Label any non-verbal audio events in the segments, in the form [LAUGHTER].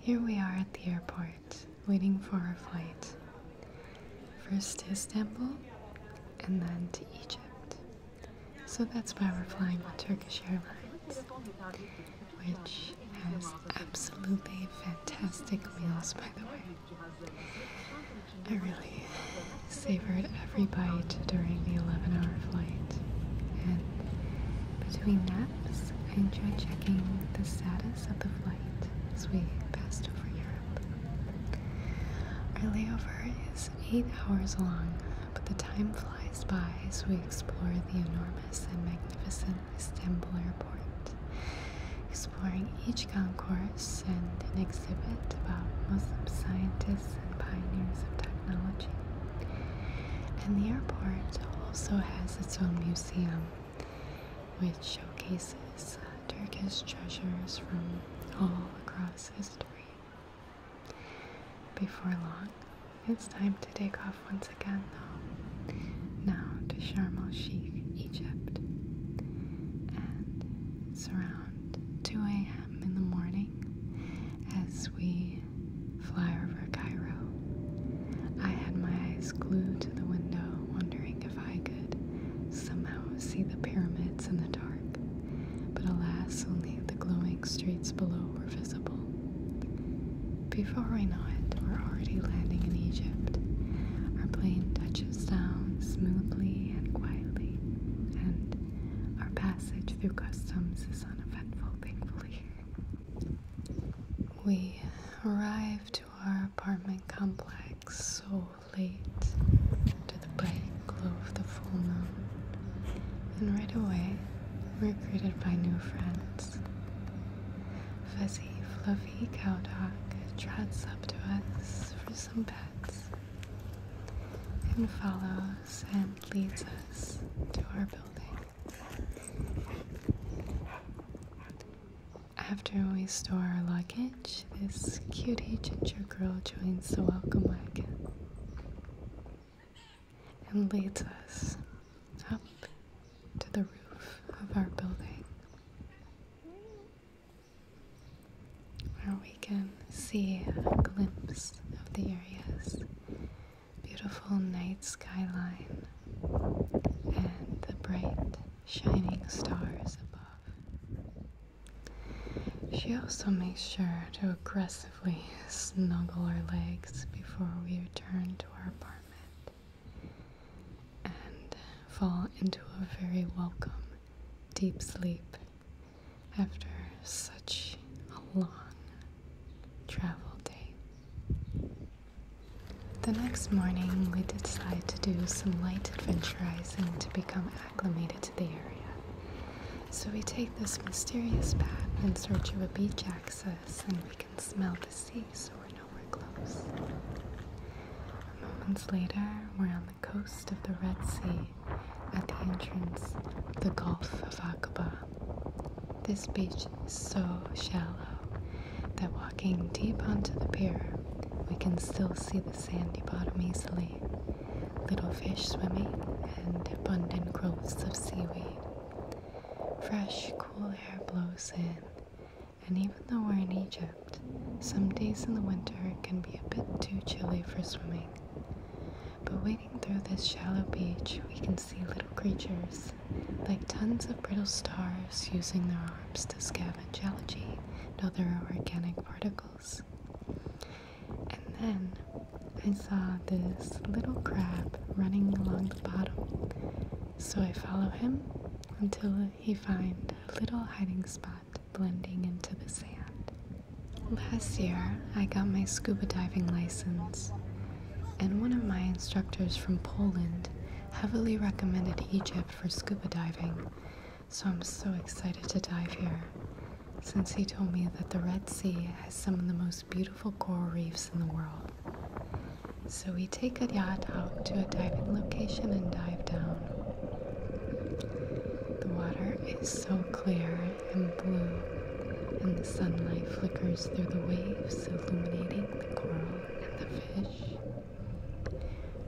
Here we are at the airport, waiting for our flight. First to Istanbul, and then to Egypt. So that's why we're flying on Turkish Airlines, which has absolutely fantastic meals, by the way. I really savored every bite during the 11-hour flight, and between that I enjoy checking the status of the flight as we pass over Europe. Our layover is eight hours long, but the time flies by as we explore the enormous and magnificent Istanbul airport, exploring each concourse and an exhibit about Muslim scientists and pioneers of technology. And the airport also has its own museum, which showcases uh, Turkish treasures from all across history. Before long, it's time to take off once again, though. Now to Sharm el Sheikh, Egypt. And it's around 2 a.m. in the morning as we fly over Cairo. I had my eyes glued to the window, wondering if I could somehow see the pyramids in the dark, but alas, only the glowing streets below were visible. Before we know it, we're already landing in Egypt. Our plane touches down smoothly and quietly, and our passage through customs is uneventful, thankfully. We arrive to our apartment complex so late to the bright glow of the full moon, and right away we are greeted by new friends. Fuzzy, fluffy cow dog trots up to us for some pets and follows and leads us to our building. After we store our luggage, this cutie ginger girl joins the welcome wagon and leads us up to the roof of our building, where we can see a glimpse of the areas beautiful night skyline and the bright shining stars above. She also makes sure to aggressively [LAUGHS] snuggle our legs before we return to our apartment and fall into a very welcome deep sleep after such a long, travel day. The next morning, we decide to do some light adventurizing to become acclimated to the area. So we take this mysterious path in search of a beach access, and we can smell the sea, so we're nowhere close. Moments later, we're on the coast of the Red Sea at the entrance the Gulf of Aqaba. This beach is so shallow that walking deep onto the pier, we can still see the sandy bottom easily, little fish swimming, and abundant growths of seaweed. Fresh, cool air blows in, and even though we're in Egypt, some days in the winter can be a bit too chilly for swimming. But wading through this shallow beach, we can see little creatures like tons of brittle stars using their arms to scavenge algae and other organic particles. And then I saw this little crab running along the bottom, so I follow him until he finds a little hiding spot blending into the sand. Last year, I got my scuba diving license, and one of my instructors from Poland heavily recommended Egypt for scuba diving, so I'm so excited to dive here. Since he told me that the Red Sea has some of the most beautiful coral reefs in the world. So we take a yacht out to a diving location and dive down. The water is so clear and blue, and the sunlight flickers through the waves, illuminating the coral and the fish.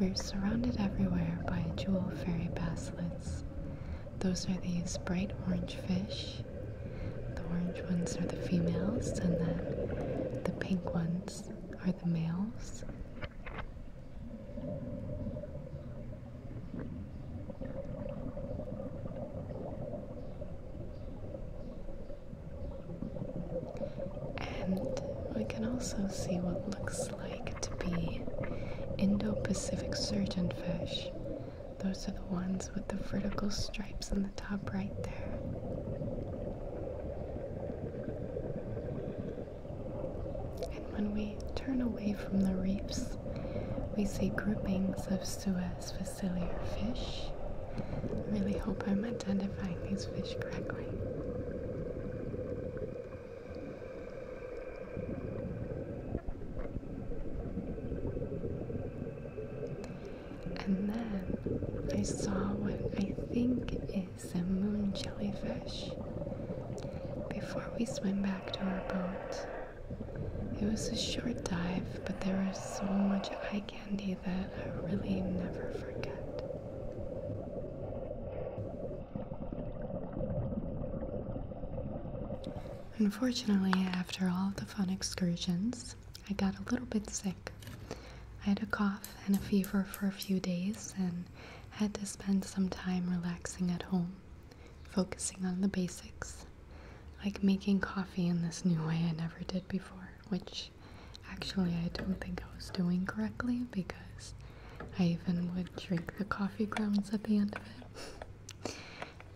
We're surrounded everywhere by jewel fairy basslets. Those are these bright orange fish. The orange ones are the females, and then the pink ones are the males. And we can also see what looks like to be Indo-Pacific surgeon fish. Those are the ones with the vertical stripes on the top right there. And when we turn away from the reefs, we see groupings of Suez sillier fish. I really hope I'm identifying these fish correctly. And then I saw what I think is a moon jellyfish before we swim back to our boat. It was a short dive, but there was so much eye candy that I really never forget. Unfortunately, after all the fun excursions, I got a little bit sick. I had a cough and a fever for a few days and had to spend some time relaxing at home, focusing on the basics, like making coffee in this new way I never did before, which actually I don't think I was doing correctly because I even would drink the coffee grounds at the end of it.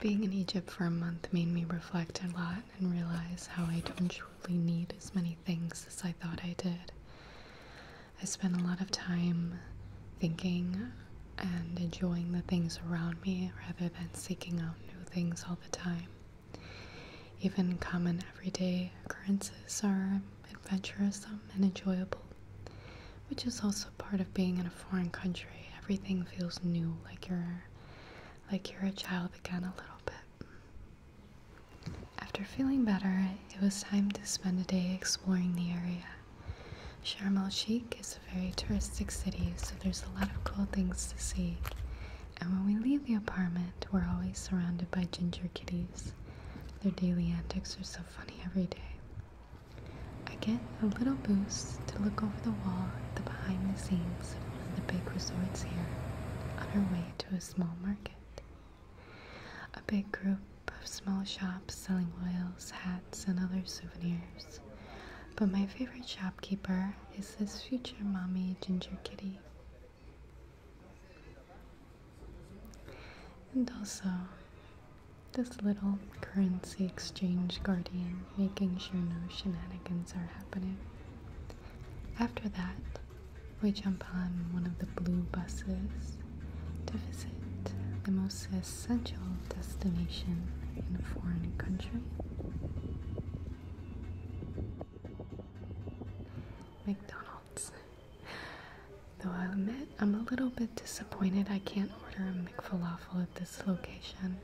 Being in Egypt for a month made me reflect a lot and realize how I don't truly need as many things as I thought I did. I spent a lot of time thinking and enjoying the things around me rather than seeking out new things all the time. Even common everyday occurrences are adventuresome um, and enjoyable, which is also part of being in a foreign country. Everything feels new, like you're like you're a child again a little bit. After feeling better, it was time to spend a day exploring the area. Sharm el Sheikh is a very touristic city, so there's a lot of cool things to see. And when we leave the apartment, we're always surrounded by ginger kitties. Their daily antics are so funny every day. I get a little boost to look over the wall at the behind the scenes of one of the big resorts here on our way to a small market. A big group of small shops selling oils, hats, and other souvenirs. But my favorite shopkeeper is this future mommy ginger kitty. And also, this little currency exchange guardian making sure no shenanigans are happening. After that, we jump on one of the blue buses to visit the most essential destination in a foreign country. McDonald's. Though i admit, I'm a little bit disappointed I can't order a McFalafel at this location.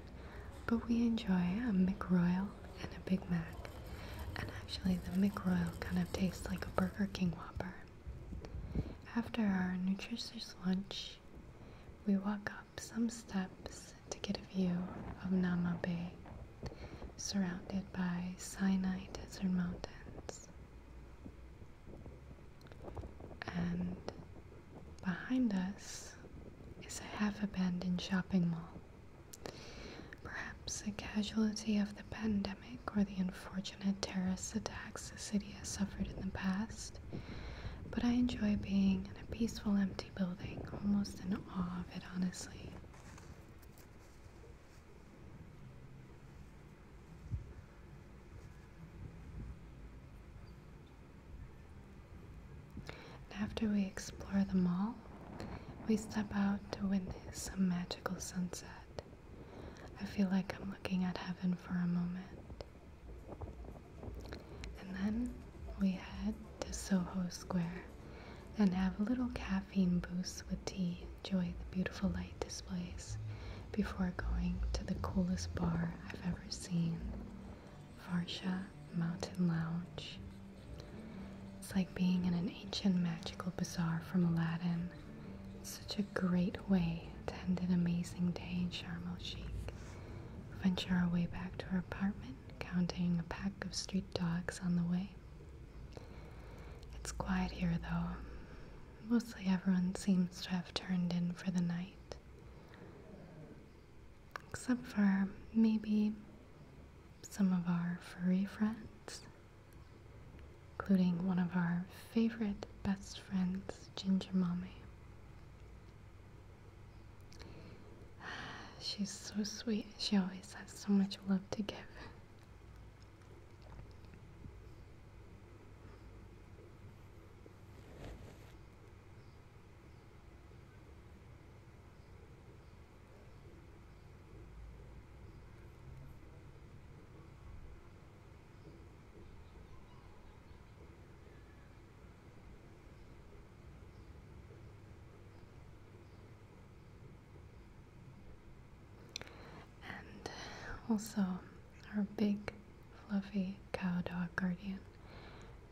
But we enjoy a McRoyal and a Big Mac. And actually, the McRoyal kind of tastes like a Burger King Whopper. After our nutritious lunch, we walk up some steps to get a view of Nama Bay, surrounded by Sinai Desert Mountains. And behind us is a half abandoned shopping mall. Perhaps a casualty of the pandemic or the unfortunate terrorist attacks the city has suffered in the past, but I enjoy being in a peaceful, empty building, almost in awe of it, honestly after we explore the mall, we step out to witness a magical sunset. I feel like I'm looking at heaven for a moment. And then we head to Soho Square and have a little caffeine boosts with tea, enjoy the beautiful light displays before going to the coolest bar I've ever seen, Varsha Mountain Lounge. It's like being in an ancient magical bazaar from Aladdin. such a great way to end an amazing day in Sharm el Sheikh. Venture our way back to our apartment counting a pack of street dogs on the way. It's quiet here, though. Mostly everyone seems to have turned in for the night. Except for maybe some of our furry friends, including one of our favorite best friends, Ginger Mommy. She's so sweet. She always has so much love to give and also our big fluffy cow dog guardian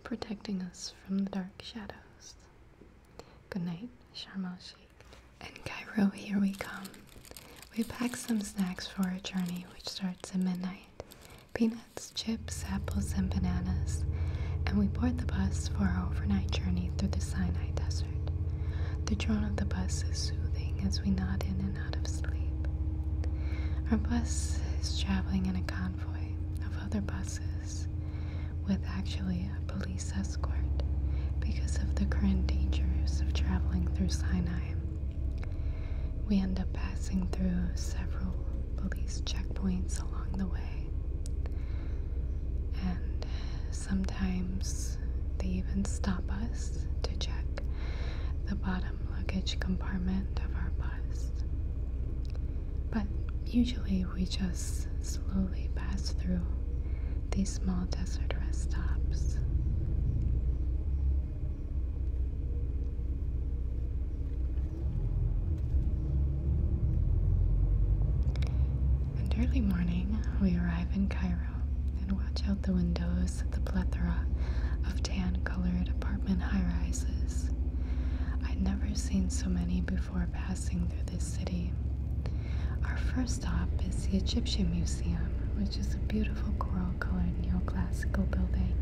protecting us from the dark shadows. Good night, Sharm Sheikh. And Cairo, here we come. We pack some snacks for our journey, which starts at midnight peanuts, chips, apples, and bananas. And we board the bus for our overnight journey through the Sinai desert. The drone of the bus is soothing as we nod in and out of sleep. Our bus is traveling in a convoy of other buses with actually a police escort because of the current dangers of traveling through Sinai. We end up passing through several police checkpoints along the way. And sometimes they even stop us to check the bottom luggage compartment of our bus. But usually we just slowly pass through these small desert rest stops. And early morning, we arrive in Cairo and watch out the windows at the plethora of tan colored apartment high rises. I'd never seen so many before passing through this city. Our first stop is the Egyptian Museum, which is a beautiful coral colored neoclassical building.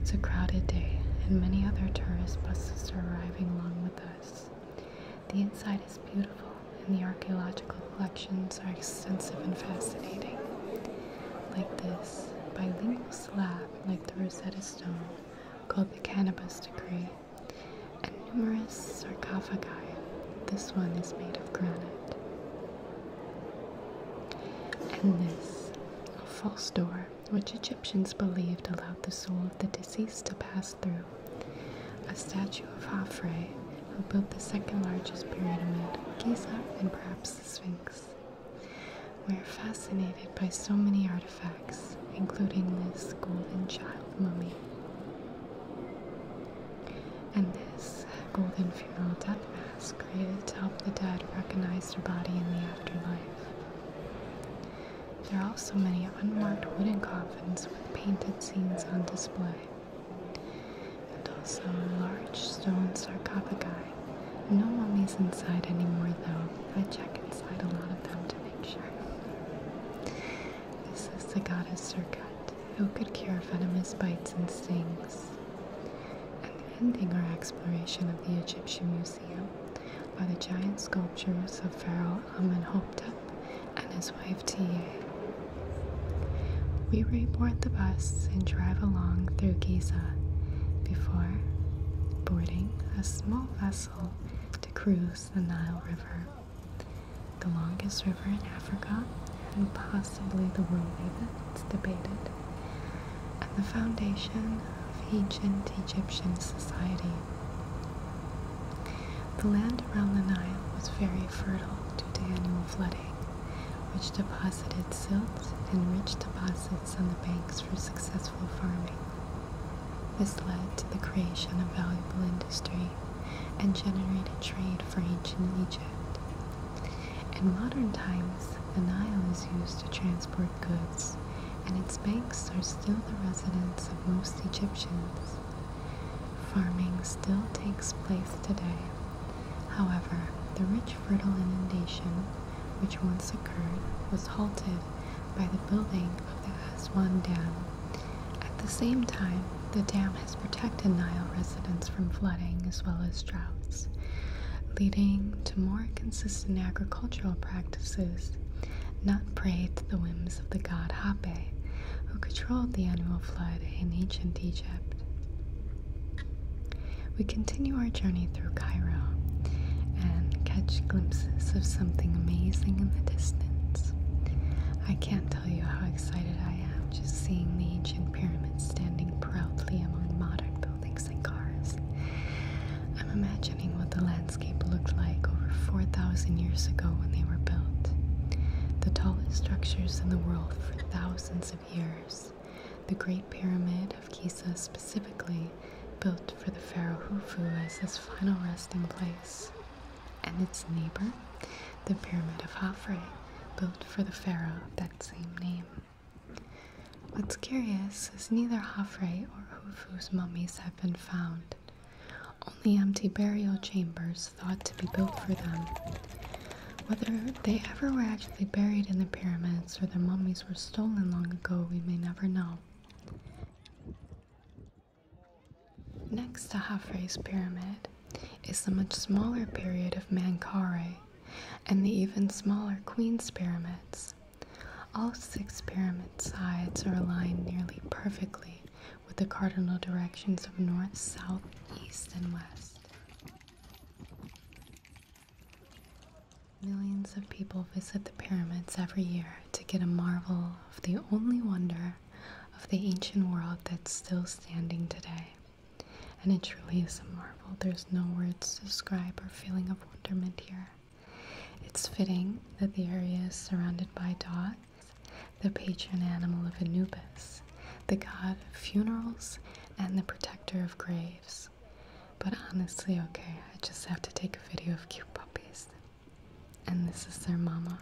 It's a crowded day, and many other tourist buses are arriving along with us. The inside is beautiful, and the archaeological collections are extensive and fascinating. Like this bilingual slab, like the Rosetta Stone, called the Cannabis Decree, and numerous sarcophagi. This one is made of granite. And this, a false door, which Egyptians believed allowed the soul of the deceased to pass through a statue of Khafre, who built the second largest pyramid, Giza, and perhaps the Sphinx. We are fascinated by so many artifacts, including this golden child mummy and this golden funeral death mask created to help the dead recognize their body in the afterlife. There are also many unmarked wooden coffins with painted scenes on display, and also large stone sarcophagi. No mummies inside anymore, though. I check inside a lot of them to make sure. This is the goddess Serket, who could cure venomous bites and stings. And ending our exploration of the Egyptian Museum are the giant sculptures of Pharaoh Colonel Ahmed and his wife Tia. We reboard the bus and drive along through Giza before boarding a small vessel to cruise the Nile River, the longest river in Africa and possibly the world even. It's debated, and the foundation of ancient Egyptian society. The land around the Nile was very fertile due to annual flooding, which deposited silt and rich deposits on the banks for successful farming. This led to the creation of valuable industry and generated trade for ancient Egypt. In modern times, the Nile is used to transport goods, and its banks are still the residence of most Egyptians. Farming still takes place today. However, the rich fertile inundation which once occurred was halted by the building of the Aswan Dam. At the same time, the dam has protected Nile residents from flooding as well as droughts, leading to more consistent agricultural practices not prey to the whims of the god Hape, who controlled the annual flood in ancient Egypt. We continue our journey through Cairo and catch glimpses of something amazing in the distance. I can't tell you how excited I am just seeing the ancient pyramids standing proudly among modern buildings and cars. I'm imagining what the land landscape looked like over 4,000 years ago when they were built. The tallest structures in the world for thousands of years, the Great Pyramid of Giza specifically, built for the pharaoh Hufu as his final resting place, and its neighbor, the Pyramid of Hafre, built for the pharaoh of that same name. What's curious is neither Hafre or Hufu's mummies have been found, only empty burial chambers thought to be built for them. Whether they ever were actually buried in the pyramids or their mummies were stolen long ago, we may never know. Next to Hafre's pyramid is the much smaller pyramid of Menkaure and the even smaller Queen's pyramids. All six pyramid sides are aligned nearly perfectly with the cardinal directions of north, south, east, and west. Millions of people visit the pyramids every year to get a marvel of the only wonder of the ancient world that's still standing today. And it truly is a marvel. There's no words to describe our feeling of wonderment here. It's fitting that the area is surrounded by dots the patron animal of Anubis, the god of funerals, and the protector of graves. But honestly, okay, I just have to take a video of cute puppies. And this is their mama.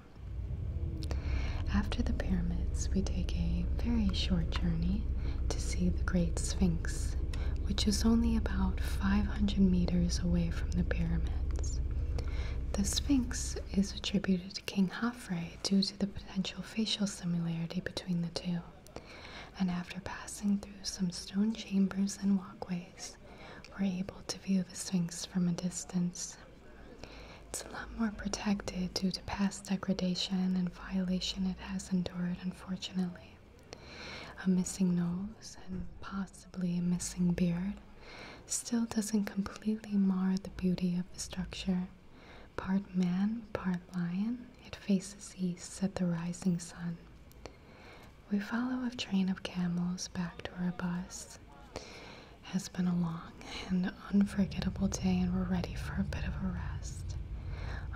After the pyramids, we take a very short journey to see the Great Sphinx, which is only about 500 meters away from the pyramids. The Sphinx is attributed to King Hafre due to the potential facial similarity between the two. And after passing through some stone chambers and walkways, we're able to view the Sphinx from a distance. It's a lot more protected due to past degradation and violation it has endured, unfortunately. A missing nose and paw possibly a missing beard, still doesn't completely mar the beauty of the structure. Part man, part lion, it faces east at the rising sun. We follow a train of camels back to our bus. Has been a long and unforgettable day, and we're ready for a bit of a rest.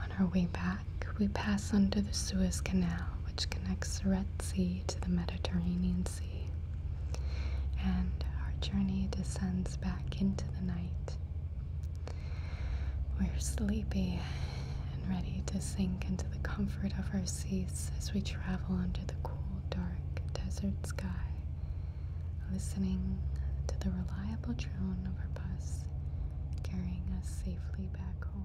On our way back, we pass under the Suez Canal, which connects the Red Sea to the Mediterranean and our journey descends back into the night. We're sleepy and ready to sink into the comfort of our seats as we travel under the cool, dark desert sky, listening to the reliable drone of our bus carrying us safely back home.